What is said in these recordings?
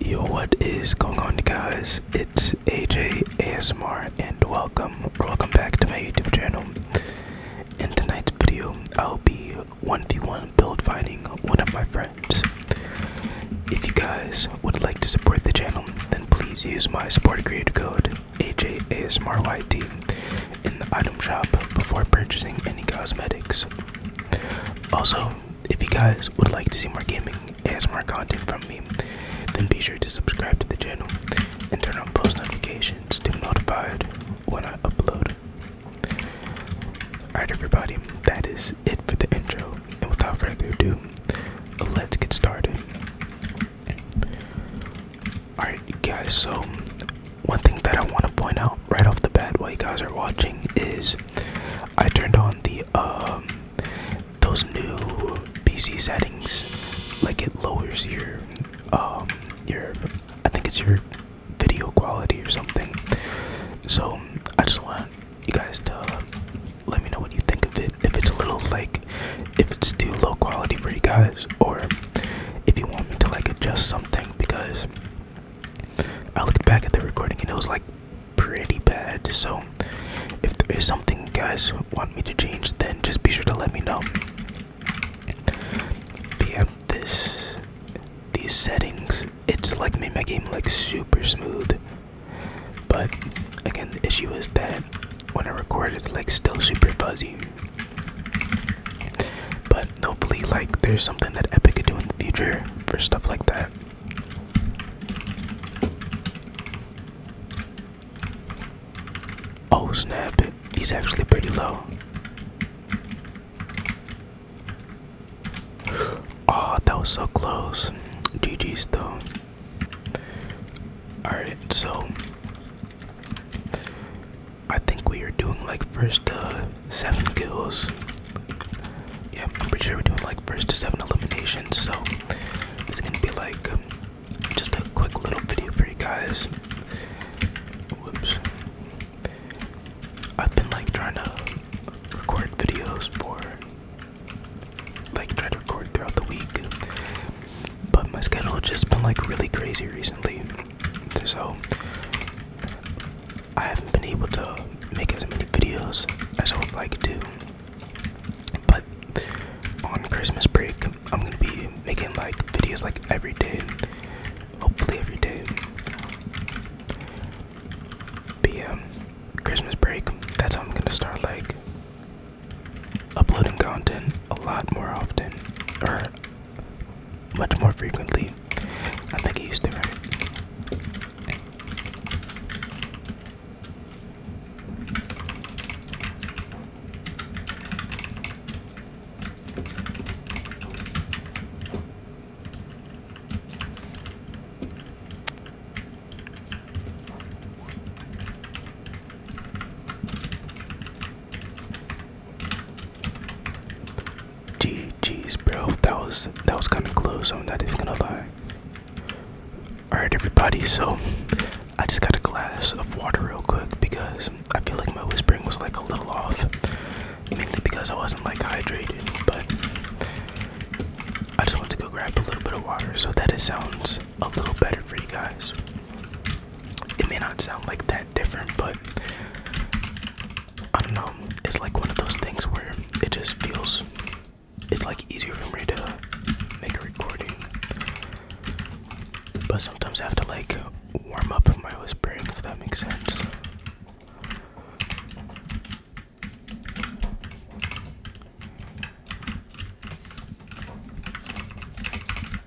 Yo, what is going on, guys? It's AJ ASMR, and welcome, welcome back to my YouTube channel. In tonight's video, I'll be 1v1 build fighting one of my friends. If you guys would like to support the channel, then please use my support creator code AJASMRYT in the item shop before purchasing any cosmetics. Also, if you guys would like to see more gaming and more content from me, then be sure to subscribe to the channel and turn on post notifications to be notified when I upload. Alright, everybody, that is it for the intro, and without further ado, let's get started. Alright, guys, so one thing that I want to point out right off the bat while you guys are watching is I turned on the um those new PC settings like it lowers your um your I think it's your video quality or something. So I just want you guys to let me know what you think of it. If it's a little like if it's too low quality for you guys or if you want me to like adjust something because I looked back at the recording and it was like pretty bad. So if there is something you guys want me to change, then just be sure to let me know. But this these settings, it's like made my game like super smooth. But again, the issue is that when I record, it's like still super fuzzy. But hopefully, like, there's something that Epic can do in the future for stuff like that. Oh snap, he's actually pretty low. Oh, that was so close. GG's though. Alright, so I think we are doing like first to uh, seven kills. Yeah, I'm pretty sure we're doing like first to seven eliminations. So it's gonna be like just a quick little video for you guys. Whoops. I've been like trying to record videos for like trying to record throughout the week, but my schedule just been like really crazy recently. So I haven't been able to make as many videos as I would like to. But on Christmas break, I'm gonna be making like videos like every day. Hopefully every day. But Christmas break, that's how I'm gonna start like uploading content a lot more often. Or much more frequently. I think he used to, right? Gee, geez, bro, that was that was kind of close. I'm not even gonna lie. All right, everybody. So I just got a glass of water real quick because I feel like my whispering was like a little off, mainly because I wasn't like hydrated. But I just want to go grab a little bit of water so that it sounds a little better for you guys. It may not sound like that different, but I don't know. It's like one of those things where it just feels it's like easier for me to make a recording. But sometimes I have to like warm up my whispering if that makes sense.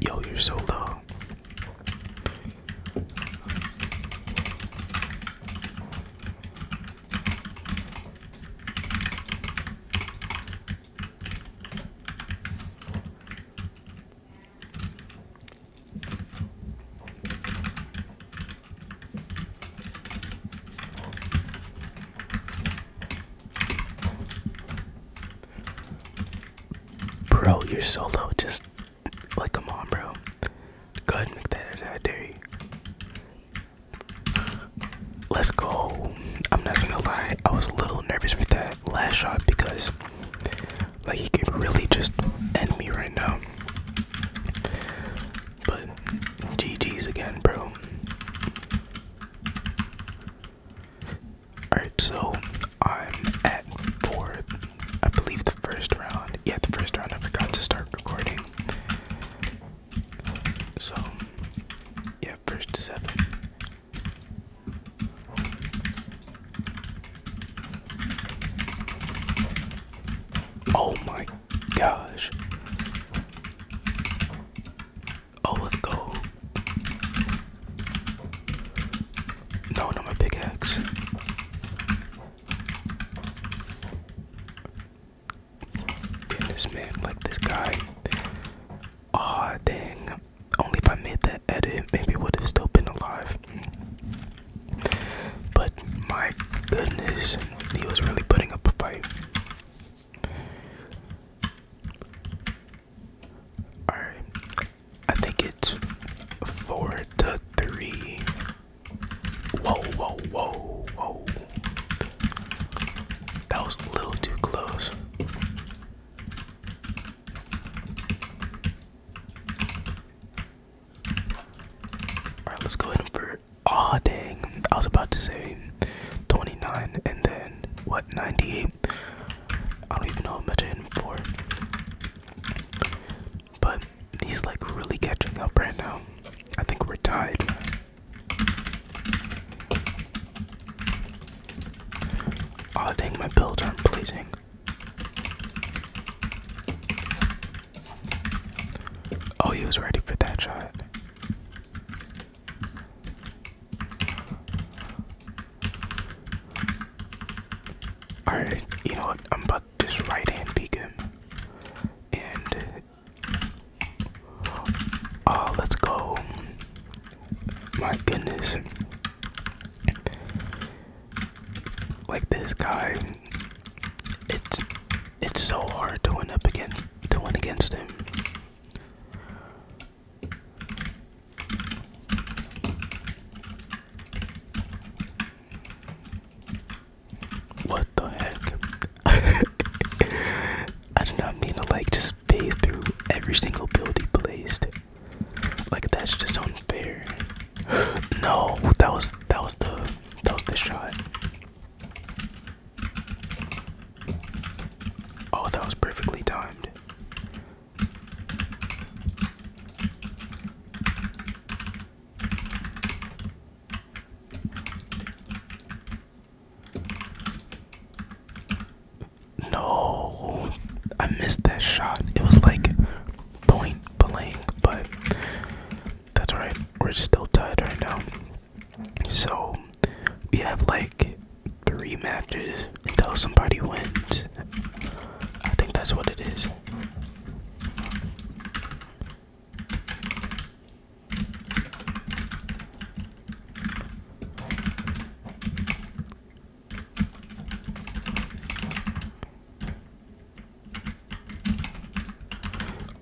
Yo, you're so low. Bro, you're so low. Just like, come on, bro. Go ahead and make that edit. I dare Let's go. I'm not gonna lie. I was a little nervous with that last shot because, like, he could really just end me right now. But GG's again, bro. Alright, so I'm at for I believe the first round. Yeah, the first round I forgot to start recording. So yeah, first to seven. Oh my gosh. Oh, let go. No, not my pickaxe. Goodness, man, like this guy. Aw, dang. Only if I made that edit, maybe would have still been alive. But my goodness, he was really putting up a fight. Alright. I think it's four to three. Whoa, whoa, whoa, whoa. That was a little too close. Alright, let's go ahead and Ah, oh, dang. I was about to say 29 and then what 98? I don't even know how much I hit him for. But he's like really catching up right now. I think we're tied. Ah, oh, dang, my builds aren't pleasing. Oh, he was ready for that shot. Alright, you know what? I'm about to just right hand peek him. And. Oh, let's go. My goodness. Like this guy, it's it's so hard to win up again to win against him. What the heck? I did not mean to like just phase through every single build he placed. Like that's just unfair. no, that was that was the that was the shot. Oh, that was perfectly timed. No, I missed that shot. It was like point blank, but that's right. We're still tied right now. So we have like three matches until somebody wins. I think that's what it is.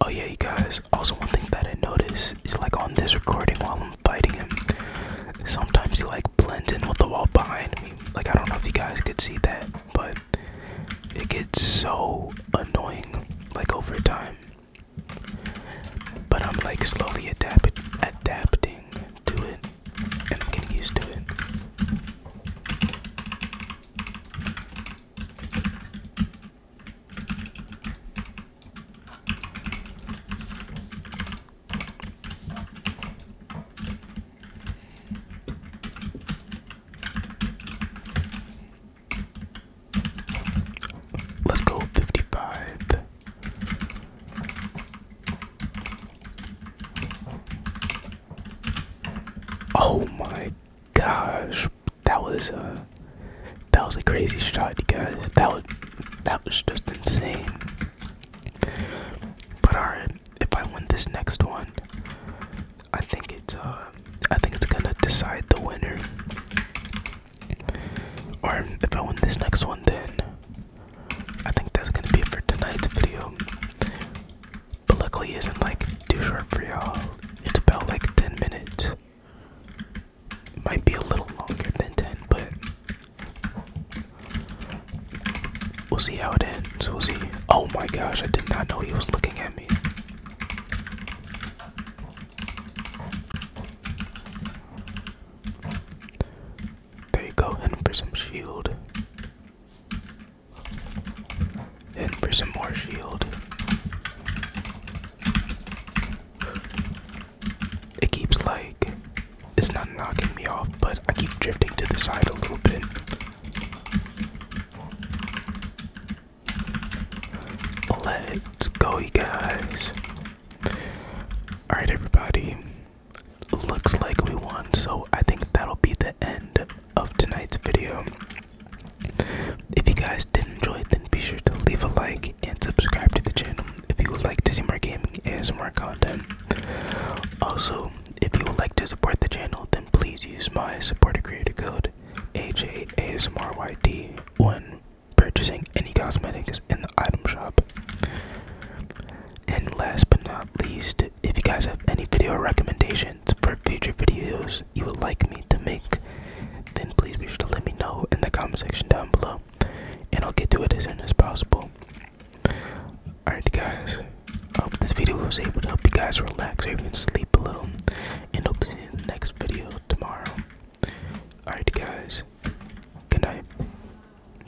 Oh yeah, you guys. Also, one thing that I noticed is like on this recording while I'm biting him, sometimes he like blends in with the wall behind me. Like I don't know if you guys could see that, but it gets so annoying like over time. But I'm like slowly adapt adapting to it, and I'm getting used to it. Let's go fifty five. Oh my gosh, that was a uh, that was a crazy shot, you guys. That was that was just insane. But alright, if I win this next one, I think it's uh I think it's gonna decide the winner. Or if I win this next one, then I think that's gonna be for tonight's video. But luckily isn't like too short for y'all. It's about like 10 minutes. might be a little longer than 10, but we'll see how it ends. We'll see. Oh my gosh, I did not know he was looking at me. There you go, and for some shield. And for some more shield. It keeps like it's not knocking me off, but I keep drifting to the side a little bit. Let's go, you guys. Alright, everybody looks like we won so i think that'll be the end of tonight's video if you guys did enjoy it then be sure to leave a like and subscribe to the channel if you would like to see more gaming and some more content also if you would like to support the channel then please use my supporter creator code HASMRYD when purchasing any cosmetics in the item shop and last but not least, if you guys have any video recommendations for future videos you would like me to make, then please be sure to let me know in the comment section down below. And I'll get to it as soon as possible. Alright guys, hope this video was able to help you guys relax or even sleep a little. And hope to see you in the next video tomorrow. Alright guys, good night.